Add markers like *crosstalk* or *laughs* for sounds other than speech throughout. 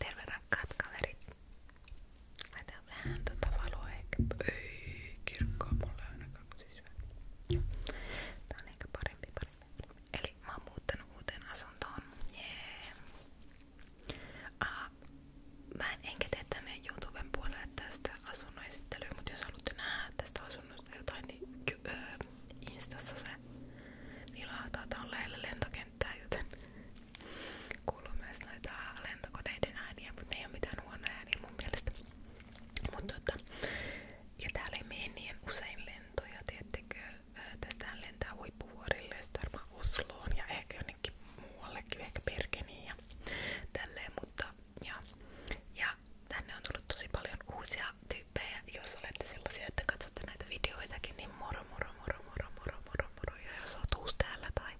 Terve rakkaat kaverit. Laitan vähän tota valoa ehkä. Ei kirkkoa mulle ainakaan sisyä. Tää on ehkä parempi, parempi. Eli mä oon muuttanut uuteen asuntoon. Jee. Yeah. Mä en enkä tee tänne YouTuben puolelle tästä asunnon esittelyä, mutta jos haluatte nähdä tästä asunnosta jotain, niin öö, instassa on lähellä lentokenttää, joten kuuluu myös noita lentokoneiden ääniä, mutta ne ei oo mitään huonoja ääniä mun tota, täällä ei mene niin usein lentoja, tiettekö? Tästähän lentää huippuvuorille ja sitten varmaan ja ehkä jonnekin muuallekin, ehkä Bergeniin ja tälleen, mutta ja, ja tänne on tullut paljon uusia tyyppejä, jos olette sellaisia, että katsotte näitä videoitakin, niin moro moro moro moro moro moro moro ja jos oot uusi täällä tai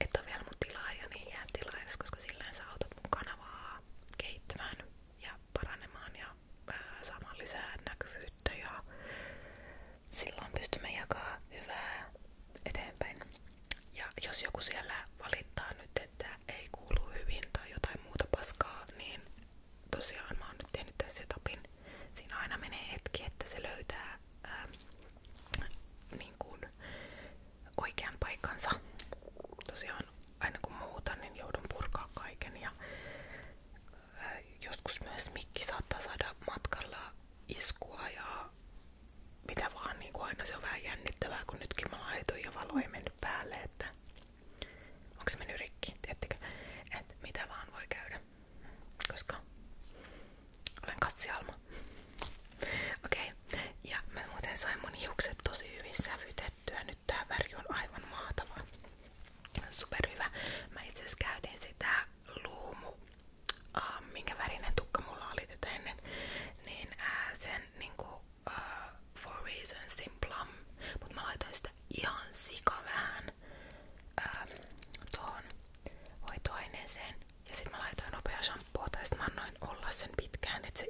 et ole vielä mun tilaaja, niin jää tilaajaksi, koska sillä sä autat mun kanavaa kehittymään ja paranemaan ja ää, saamaan lisää näkyvyyttä ja silloin pystymme jakamaan hyvää eteenpäin. Ja jos joku siellä valittaa nyt, että ei kuulu hyvin tai jotain muuta paskaa, niin tosiaan mä oon nyt tehnyt tämän setupin. Siinä aina menee hetki, että se löytää ää, ähm, niin kuin oikean paikkansa. Tosiaan aina kun muutan, niin joudun purkaa kaiken ja ää, äh, joskus myös mikki saattaa saada matkalla iskua ja mitä vaan, niin kuin aina se on vähän jännittävää, kun nytkin mä laitoin ja valo ei mennyt päälle, että Onko se mennyt rikki, tiedättekö? Että mitä vaan voi käydä, koska olen katsialma. Okei, okay. ja mä muuten sain mun hiukset tosi hyvin sävytettyä. Nyt tää väri on aivan mahtava. Superhyvä. Mä itse asiassa käytin sitä luumu, äh, minkä värinen tukka mulla oli tätä ennen, niin äh, sen niinku uh, For Reasonsin Plum, vähän uh, tuohon ja sit mä laitoin nopea shampoota ja mä annoin olla sen pitkään, että se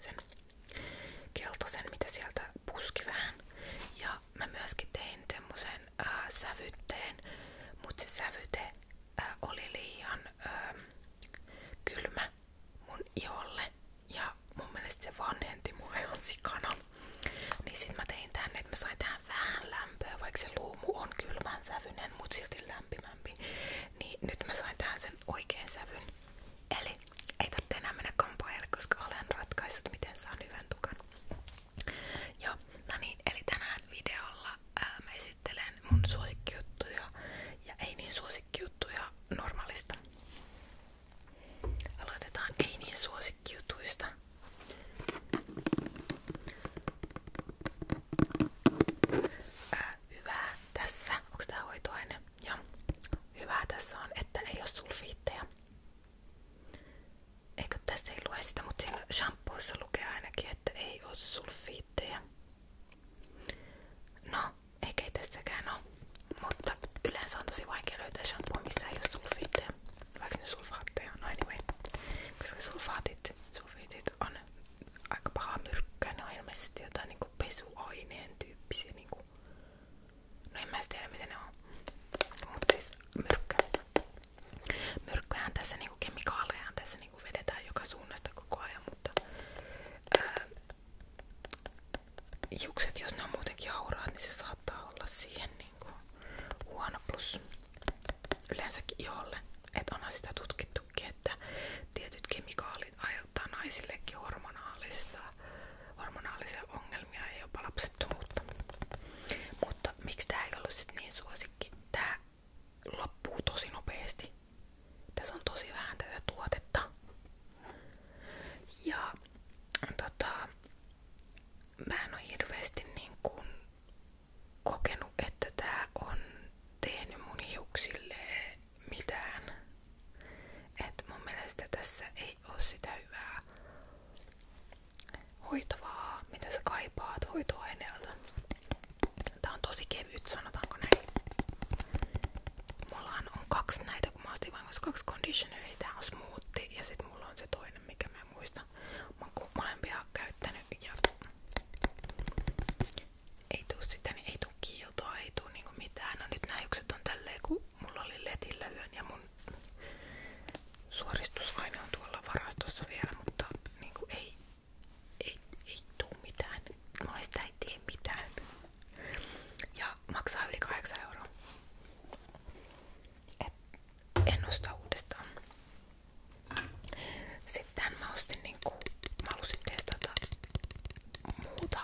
sen keltaisen, mitä sieltä puski vähän. Ja mä myöskin tein semmosen äh, sävytteen, mutta se sävyte äh, oli liian äh, kylmä, mun iholle ja mun mielestä se vanhenti mulle ihan sikana. Niin sit mä tein tänne, että mä sain tähän vähän lämpöä, vaikka se luumu on kylmän sävynen, mut silti lämpimämpi. Niin nyt mä sain tähän sen oikean sävyn. Eli ei tarvitse enää mennä kampaajalle, koska olen ratkaissut miten saan hyvän tukan. Ja no niin, eli tänään videolla ää, mä esittelen mun suosikkijuttuja ja ei niin suosikkijuttuja normaalista. Aloitetaan ei niin suosikkiutuista. Ää, hyvää tässä, onko tää hoitoaine? Joo. tässä on, että ei ole sulfiitteja. Eikö tässä ei lue sitä, mutta siinä lukee ainakin, että ei ole sulfiitteja. No, eikä ei tässäkään oo. Mutta yleensä on tosi vaikea löytää shampoo, missä ei oo sulfiitteja. Vaikka ne sulfaatteja on, no anyway. Koska sulfaatit, sulfiitit on aika paha myrkkyä. Ne on ilmeisesti jotain niinku pesuaineen tyyppisiä niinku. No en mä tiedä mitä ne on. Mut siis myrkkyä. Myrkkyjä on tässä niinku kemikaaleja on tässä niinku vedetään joka suunnasta koko ajan, mutta ää, Hiukset, jos ne on muutenkin auraat, niin se saattaa olla siihen niinku huono plus yleensäkin iholle. Että onhan sitä tutkittukin, että tietyt kemikaalit aiheuttaa naisillekin hormonaalista, hormonaalisia ongelmia ja jopa lapsettomuutta. Mutta miksi tää ei ollut sit niin suosikki? Tää loppuu tosi nopeasti. Tässä on tosi vähän tätä tuotetta. Ja tota, mä en niin kun kokenut, että tää on tehnyt mun hiuksille mitään. Et mun mielestä tässä ei oo hyvää hoitovaa, mitä sä kaipaat hoitoaineelta. Tää on tosi kevyt, sanotaanko näin. Mullahan on kaksi näitä näitä, kun mä ostin vain kaksi conditioneria. Niin tää on smoothie ja sit mulla on se toinen, mikä mä en muista. Mä oon molempia käyttänyt ja ei tuu sitä, niin ei tuu kiiltoa, ei tuu niinku mitään. No nyt nää on tälleen, kun mulla oli letillä yön ja mun suoristusaine on tuolla varastossa vielä, mutta niinku ei, ei, ei tuu mitään. Noista ei tee mitään maksaa yli 8 euroa. Et en osta uudestaan. Sitten mä ostin niinku, mä halusin testata muuta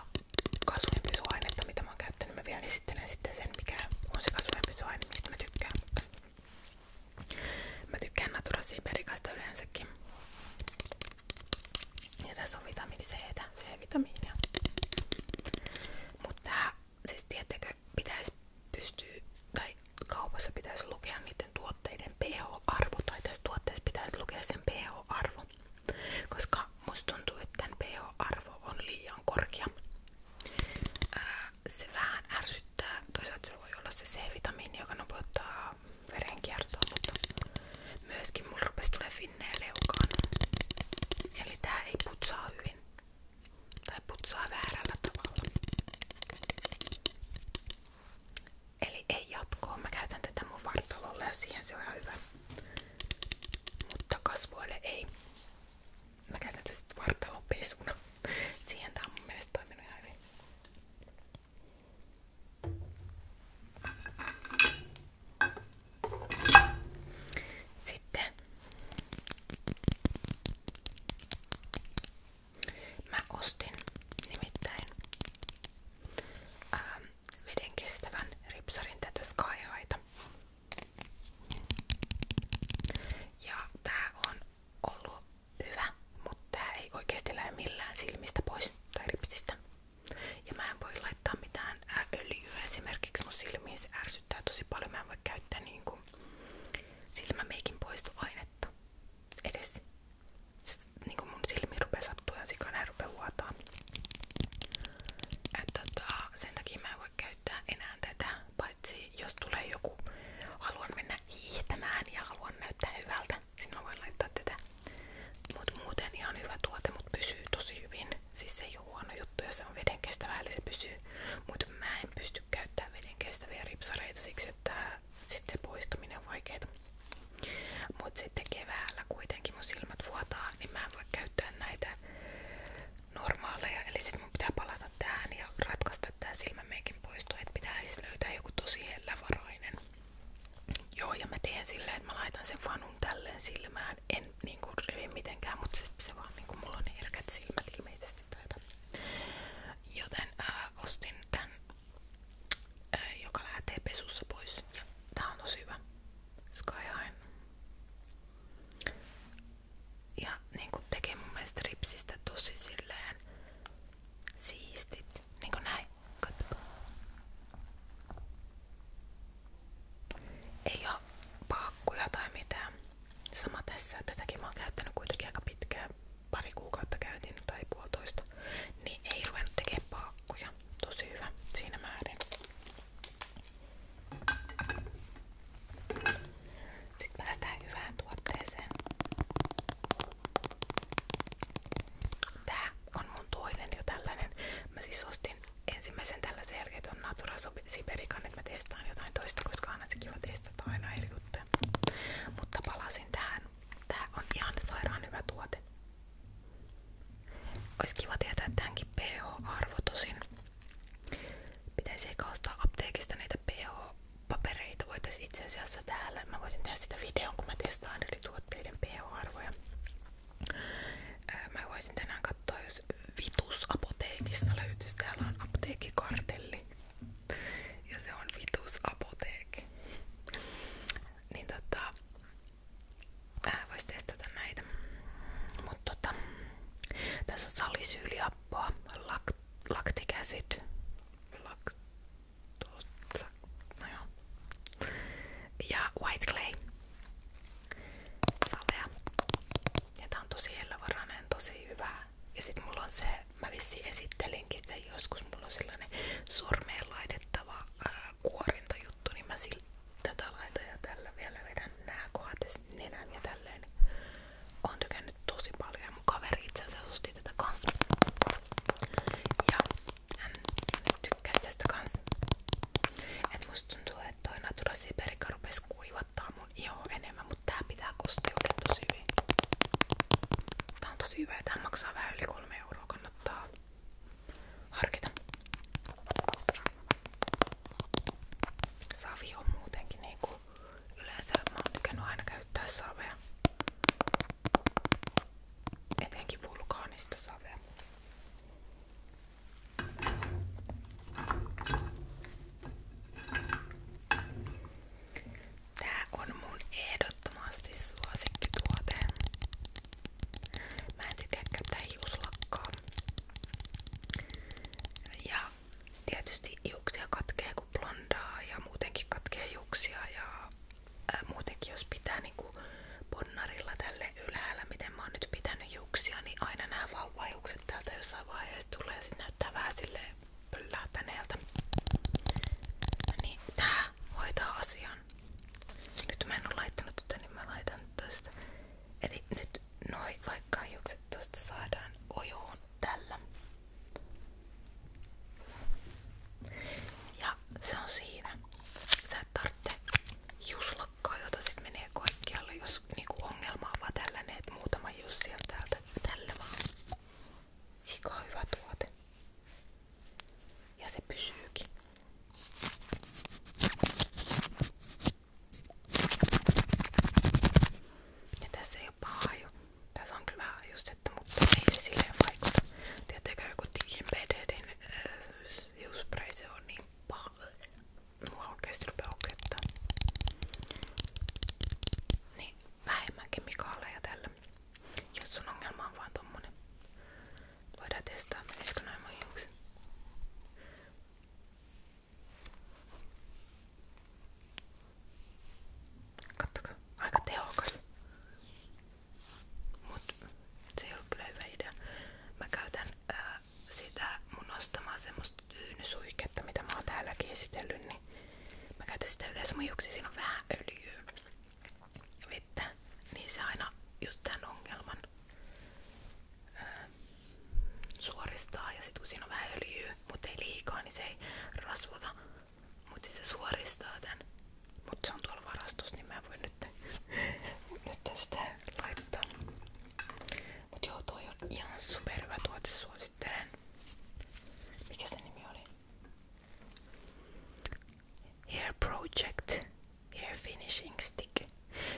kasvojenpisuainetta, mitä mä oon käyttänyt. Mä vielä esittelen sitten sen, mikä on se kasvojenpisuaine, mistä mä tykkään. Mä tykkään Natura Siberikasta yleensäkin. Ja tässä on vitamiini C, C-vitamiinia. Mutta tää, siis tiettäkö, pitäisi pystyä, tai kaupassa pitäisi lukea niiden tuotteiden pH-arvo, tai tässä tuotteessa pitäisi lukea sen pH-arvo, koska musta tuntuu, että tämän pH-arvo on liian korkea. Ää, se vähän ärsyttää, toisaalta se voi olla se C-vitamiini, joka nopeuttaa verenkiertoa, mutta myöskin mulla rupesi tulee finneen leukaan. Eli tää ei putsaa hyvin. Tai putsaa väärällä tavalla. Eli ei jatkoa. Mä käytän tätä mun vartalolle ja siihen se on ihan hyvä. Mutta kasvoille ei. Mä käytän tästä vartalopesuna. *laughs* Siihen tää on mun mielestä toiminut ihan hyvin. Sitten mä ostin nimittäin ähm, veden kestävän ripsarin tätä Skyhighta. Ja tää on ollut hyvä, mutta tää ei oikeesti lähde millään silmistä pois tai ripsistä. Ja mä en voi laittaa mitään äh, öljyä esimerkiksi mun silmiin, se ärsyttää tosi paljon. Mä en voi käyttää niinku silmämeikin poistoainetta edes. Siis, niinku mun silmi rupee sattua ja sikana ja rupee huotaan. Et, tota, sen takia mä en voi käyttää enää tätä, paitsi jos tulee joku, haluan mennä hiihtämään ja haluan näyttää hyvältä, sinä voin laittaa tätä. Mut muuten ihan hyvä tuote, mut pysyy tosi hyvin. Siis se ei ole huono juttu ja se on veden kestävää, eli se pysyy. Mut mä en pysty käyttämään veden kestäviä ripsareita siksi, että sit se poistuminen on vaikeeta. Mut sitten keväällä kuitenkin mun silmät vuotaa, niin mä en voi käyttää näitä normaaleja. Eli sit mun pitää palata tähän ja ratkaista tää silmämeikin poisto, että pitää siis löytää joku tosi hellävarainen. Joo, ja mä teen silleen, että mä laitan sen fanun tälleen silmään. En niinku rivi mitenkään, mutta sit se vaan niinku mulla on herkät silmät ilmeisesti taita. Joten ää, äh, ostin tän, ää, äh, joka lähtee pesussa pois. Ja tää on tosi hyvä. Sky High. Ja niinku tekee mun mielestä ripsistä tosi silleen siistit niin kuin näin. Katsotaan. Ei oo paakkuja tai mitään. Sama tässä. Tätäkin mä oon käyttänyt kuitenkin aika pitkään. Pari kuukautta käytin tai puolitoista. Niin ei ruvennut tekemään paakkuja. Tosi hyvä siinä määrin. Sitten päästään hyvään tuotteeseen. Tää on mun toinen jo tällainen. Mä siis ostin ensimmäisen tällaisen jälkeen on Natura Siberican, että mä testaan jotain toista, koska aina se kiva testata aina eri juttuja. Mutta palasin tähän. Tää on ihan sairaan hyvä tuote. Ois kiva tietää tämänkin pH-arvo tosin. Pitäisi eikä ostaa apteekista näitä pH-papereita. Voitais itse asiassa täällä. Mä voisin tehdä sitä videon, kun mä testaan eri tuotteiden pH-arvoja. Mä voisin tänään katsoa, jos Vitusapoteekista löytyisi. Täällä on apteekikartelli. Ja se on Vitusapoteekki. Niin tota, vois testata näitä. Mut tota, tässä on salisyyliappoa, lak, laktikäsit, lak, Tuossa. No joo. Ja White Clay. Salvea. Ja tää on tosi hellävarainen, tosi hyvä. Ja sit mulla on se, mä vissiin esittelinkin sen joskus, mulla on sellainen sormeen laitettava ää, äh, kuorintajuttu, niin mä sillä tätä laitan ja tällä vielä vedän nää kohdat ja nenän ja tälleen. Oon tykännyt tosi paljon ja mun kaveri itsensä osti tätä kanssa. Ja hän tykkäsi tästä kanssa. Et musta tuntuu, että toi Natura Siberica rupes kuivattaa mun ihoa enemmän, mutta tää pitää kosteuden tosi hyvin. Tää on tosi hyvä ja tää maksaa vähän yli 3 euroa, kannattaa harkita. Savi on muutenkin niinku yleensä, mä oon tykännyt aina käyttää savea. Etenkin vulkaanista savea. Tää on mun ehdottomasti suosikkituote. Mä en tykkää käyttää hiuslakkaa. Ja tietysti hiuksia katkee kun blondaa ja muutenkin katkee hiuksia ja ää, muutenkin jos pitää niinku ponnarilla tälle ylhäällä, miten mä oon nyt pitänyt juuksia, niin aina nämä vauvajukset täältä jossain vaiheessa tulee ja sit näyttää vähän silleen pöllähtäneeltä. No niin tää hoitaa asian. Nyt mä en oo laittanut tätä, niin mä laitan tosta. Eli nyt noi vaikka hiukset tosta saadaan ojoon tällä. Ja ja se on siinä. Sä et tarvitse juslakkaa, jota sit menee kaikkialle, jos niinku ongelma on vaan tällainen, että muutama just sieltä täältä tällä vaan. Sika hyvä tuote. Ja se pysyykin. Ja tässä ei oo paha jo. Tässä on kyllä vähän ajustetta, mutta ei se silleen vaikuta. Tietääkö joku tiikin BDD Äh, hiuspray se on niin paha. Mua oikeesti rupeaa okettaa. Niin, vähemmän kemikaaleja tällä. Jos sun ongelma on vaan tommonen. Voidaan testaa, menisikö noin mun hiukset. Kattokaa, aika tehokas. Mut se ei ollut kyllä hyvä idea. Mä käytän ää, sitä mun ostamaan semmoista tyynysuiketta, mitä mä oon täälläkin esitellyt, niin mä käytän sitä yleensä mun juoksi, siinä on vähän öljyä ja vettä, niin se aina just tämän ongelman ää, suoristaa ja sit kun siinä on vähän öljyä, mutta ei liikaa, niin se ei rasvuta, mutta siis se suoristaa tän. Mutta se on tuolla varastossa, niin mä voin nyt, *laughs* nyt tästä laittaa. Mut joo, toi on ihan superhyvä tuote, suosittelen. Mikä se nimi oli? Hair Project Hair Finishing Stick.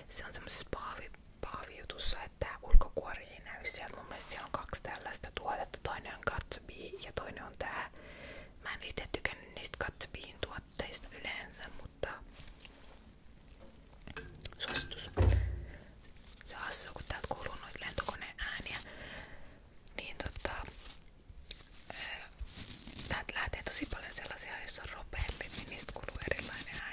Se on semmosessa paavi, paavijutussa, että ulkokuori ei näy sieltä. Mun mielestä siellä on kaksi tällaista tuotetta. Toinen on Gatsby ja toinen on tää Mä en itse tykännyt niistä katsopiin tuotteista yleensä, mutta suositus. Se hassua, kun täältä kuuluu noita lentokoneen ääniä, niin tota, ää, täältä lähtee tosi paljon sellaisia, joissa on ropelli, niin niistä kuuluu erilainen ääni.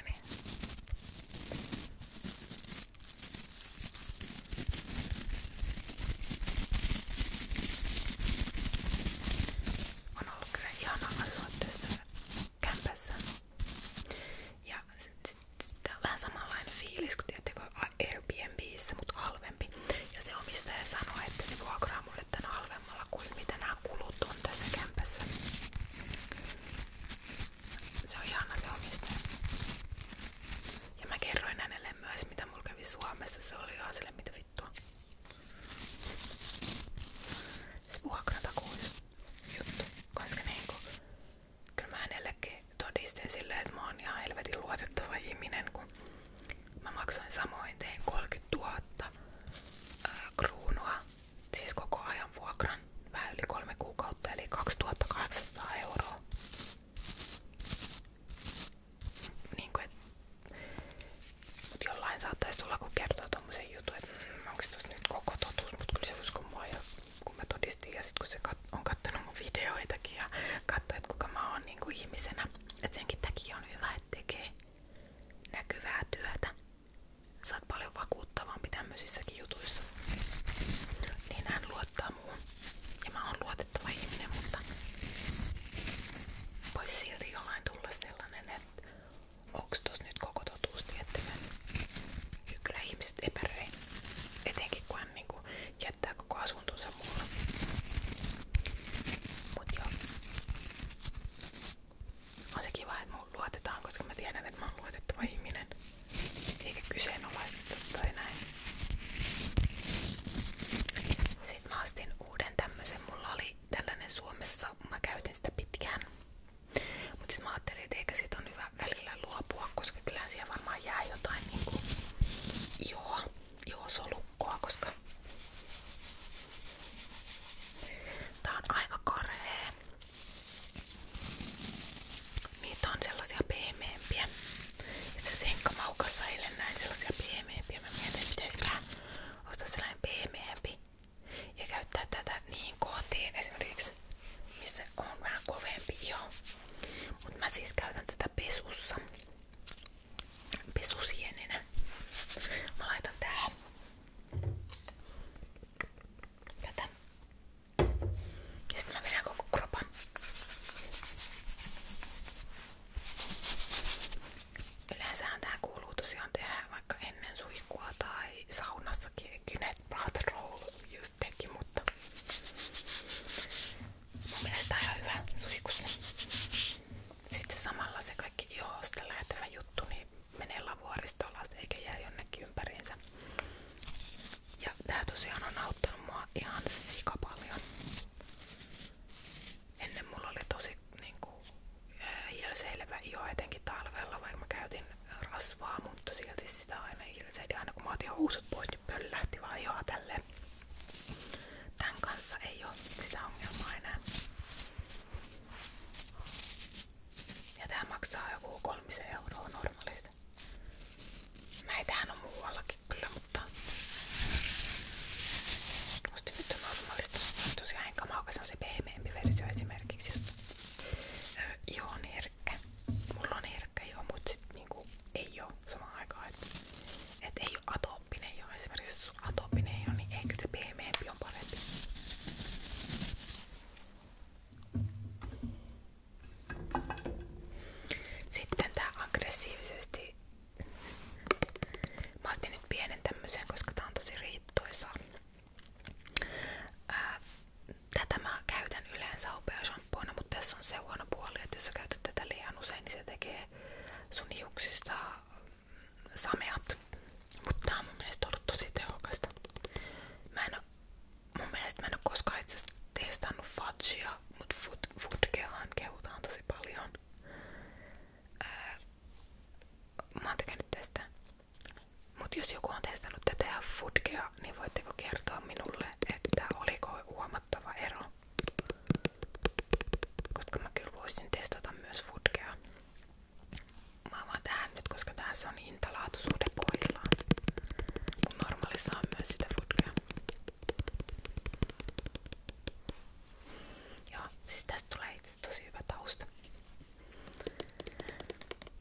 On ollut kyllä ihanaa asua tässä Ja sitten on vähän samanlainen fiilis kuin tiedättekö Airbnbissä, mutta halvempi. Ja se omistaja sanoi, että se vuokraa mulle tän halvemmalla kuin mitä nämä kulut on tässä kämpässä. Se on ihana se omistaja. Ja mä kerroin hänelle myös, mitä mulla kävi Se oli ihan sille, mitä vittua. Se vuokrata juttu, koska niinku, kyllä mä hänellekin todistin silleen, että mä oon ihan helvetin luotettava ihminen, kun mä maksoin samoin, tein 30 000 ää, kruunua, siis koko ajan vuokran, vähän yli kolme kuukautta, eli 2800 euroa niin kuin, että mut jollain saattaisi tulla, kun kertoo tommosen jutun, että mmm, onko se nyt koko totuus, mutta kyllä se uskoi mua. Ja kun mä todistin ja sit kun se kat on kattonut mun videoitakin ja katsoi, että kuka mä oon niin kuin ihmisenä. Että senkin takia on hyvä, että tekee näkyvää työtä. Sä oot paljon vakuuttavampi tämmöisissäkin jutuissa. Niin hän luottaa muun. Ja mä oon luotettava ihminen, mutta Voisi silti jollain tulla sellainen, että onks tos nyt koko totuus tiettävän. Kyllä ihmiset epäröi, etenkin kun hän niinku jättää koko asuntonsa mulle. Mut joo. On se kiva, että mun luotetaan, koska mä tiedän, että mä oon luotettava ihminen. Eikä kyseenalaisteta tai näin. Sitten uuden tämmösen. Mulla oli tällainen Suomessa, mä käytin sitä pitkään. Mutta sitten eikä siitä on hyvä välillä luopua, koska kyllä siihen varmaan jää jotain joo, niinku joo solukkoa, koska tää on aika karhea. Niitä on sellaisia pehmeämpiä. Itse asiassa Henkka Maukassa eilen näin sellaisia pehmeämpiä. Mä mietin, että pitäisiköhän ostaa sellainen pehmeämpi ja käyttää tätä niin kohtiin esimerkiksi, missä on vähän kovempi iho. Mut mä siis käytän tätä pesussa. Pesusieninä. Mä laitan tähän tätä. Ja sitten mä vedän koko kropan. Yleensähän tää kuuluu tosiaan tehdä vaikka ennen suihkua tai saunassakin. Kynet Roll just teki, mutta mun mielestä on ihan hyvä suihkussa. Sitten samalla se kaikki ihosta lähtevä juttu niin menee lavuoristoon alas eikä jää jonnekin ympäriinsä. Ja tää tosiaan on auttanut mua ihan sika paljon. Ennen mulla oli tosi niinku, hiilseilevä iho etenkin talvella, vaikka mä käytin rasvaa, mutta silti sitä aina hiilseili. Aina kun mä otin pois, niin pöllähti vaan ihoa tälleen. Tän kanssa ei oo sitä ongelmaa enää. Ja tää maksaa joku kolmisen euroa normaalisti. Näitähän on muualla jotenkin klömppää. Musta nyt on normaalista. Tosiaan enkä maukas on se pehmeämpi versio esimerkiksi. Just. Joo, on herkkä. Mulla on herkkä joo, mut sit niinku ei oo samaan aikaan. Et, et ei oo atooppinen joo. Esimerkiksi jos atooppinen ei oo, niin ehkä se pehmeämpi on parempi. Sitten tää aggressiivisesti Mä ostin nyt tosi riittoisaa. tätä mä käytän yleensä hopeashampoona, mutta tässä on se huono puoli, että usein, niin se tekee sun hiuksista mm, Mutta tää on mun mielestä ollut tosi tehokasta. itse testannut fudgea, mut fudgeahan kehutaan tosi paljon mitään. Öö, mä oon tykännyt tästä. Mut jos joku on testannut tätä ja foodgea, niin voitteko kertoa minulle, että oliko huomattava ero? Koska mä kyllä voisin testata myös foodgea. Mä vaan tähän nyt, koska tässä on hintalaatuisuhde kohdillaan. Kun normaalissa on myös sitä foodgea. Joo, siis tästä tulee itse tosi hyvä tausta.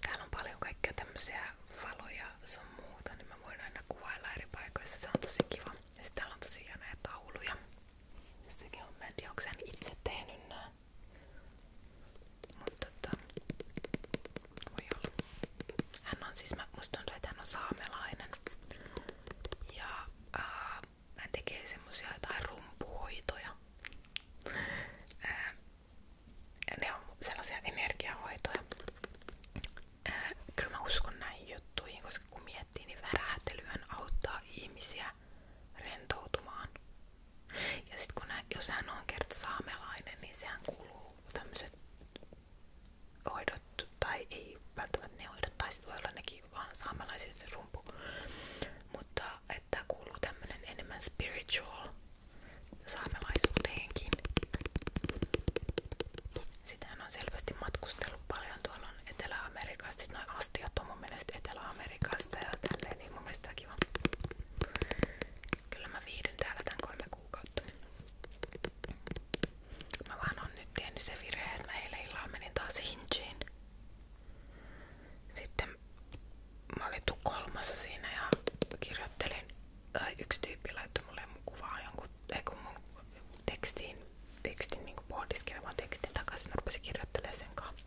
Täällä on paljon kaikkea tämmöisiä valoja sun muuta, niin mä voin aina kuvailla eri paikoissa. Se on tosi kiva. Ja sit täällä on tosi hienoja tauluja. Sekin on, mä en tiedä, itse tehnyt nää. Mutta tota, voi olla. Hän on siis, mä, musta tuntuu, että hän on saamelainen. Ja ää, äh, hän tekee semmosia jotain rumpuhoitoja. Ää, äh, ne on sellaisia energiahoitoja. Ää, äh, kyllä mä uskon näihin juttuihin, koska kun miettii, niin värähtelyhän auttaa ihmisiä rentoutumaan. Ja sit kun hän, jos hän on kerta saamelainen, niin sehän kuluu tämmöiset hoidot, tai ei välttämättä ne hoidot, tai sit voi olla nekin vaan saamelaisia se rumpu. Mutta että kuuluu tämmönen enemmän spiritual saamelaisuuteenkin. Sitähän on selvästi matkustellut paljon tuolla Etelä-Amerikasta. Sitten noin astiot on mun mielestä Etelä-Amerikasta ja tälleen, niin mun mielestä kiva. Kyllä mä viihdyn täällä tän kolme kuukautta. Mä vaan on nyt tehnyt se virhe, että mä eilen illalla menin taas hinchiin. Sitten mä olin kolmassa siinä ja kirjoittelin, tai yksi tyyppi laittoi mulle mun kuvaan jonkun, ei kun mun tekstiin, tekstin niinku pohdiskelemaan tekstin takaisin, rupesin kirjoittelemaan sen kanssa.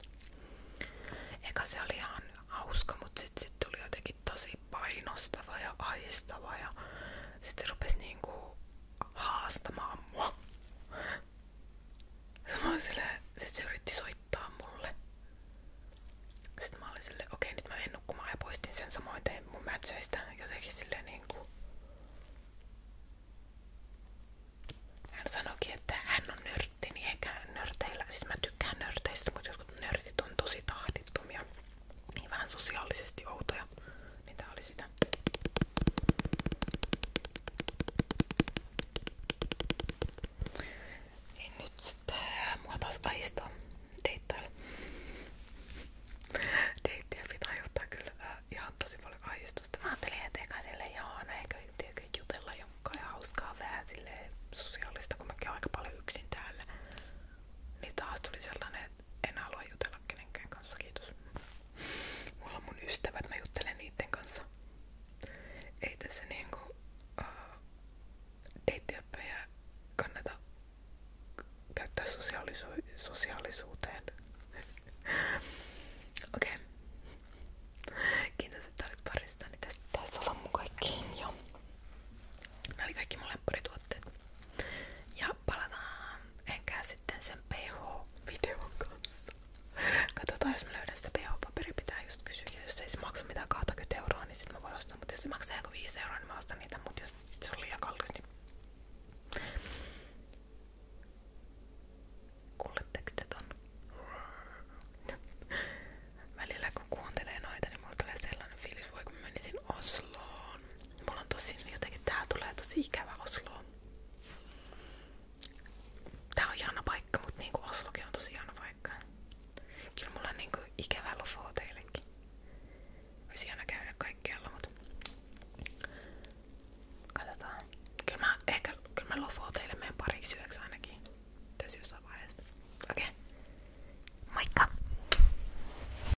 Eka se oli ihan hauska, mutta sitten sit tuli jotenkin tosi painostava ja aistava ja sitten se rupesi niinku haastamaan mua. Mä silleen, sit se yritti soittaa mulle. Sitten mä olin silleen, okei nyt mä en nukkumaan ja poistin sen samoin tein mun matcheista. Jotenkin silleen niinku... Hän sanoikin, että hän on nörtti, niin eikä nörteillä, siis mä tykkään nörteistä, mutta jotkut nörtit on tosi tahdittomia niin sosiaalisesti outoja, niin tää oli sitä. Niin nyt sitten mua taas ahistaa pitää aiheuttaa kyllä äh, ihan tosi paljon ahistusta. Mä ajattelin eteenpäin silleen, joo, no eikö, sosiaalista, kun mäkin olen yksin täällä. Niin taas tuli sellainen en halua jutella kenenkään kanssa, kiitos. Mulla mun ystävät, mä juttelen niiden kanssa. Ei tässä niinku uh, äh, deittiöppejä kannata käyttää sosiaalisu- sosiaalisuuteen. *laughs* Okei. Okay. paristani. Niin tästä taisi olla mun kaikkiin jo. Nämä oli kaikki Ja palataan ehkä sitten sen pH-videon kanssa. Katsotaan, jos mä löydän jos ei se maksa niin sit mä ostaa. Mutta jos maksaa joku 5 euroa, niin mä ostan niitä. Mut jos se on liian kallis, niin... noita, niin mulla tulee sellainen fiilis, voi Mulla on tosi jotenkin tää tulee tosi ikävä Osloon. Tää on hieno paikka, mut niinku Oslokin on tosi hieno paikka. Kyllä mulla on niinku ikävä lofo teillekin. Olisi hieno käydä kaikkialla, mut katsotaan. Kyllä mä ehkä kyllä mä lofo teille meidän pariksi yöksi ainakin. Tässä jossain vaiheessa. Okei. Okay. Moikka!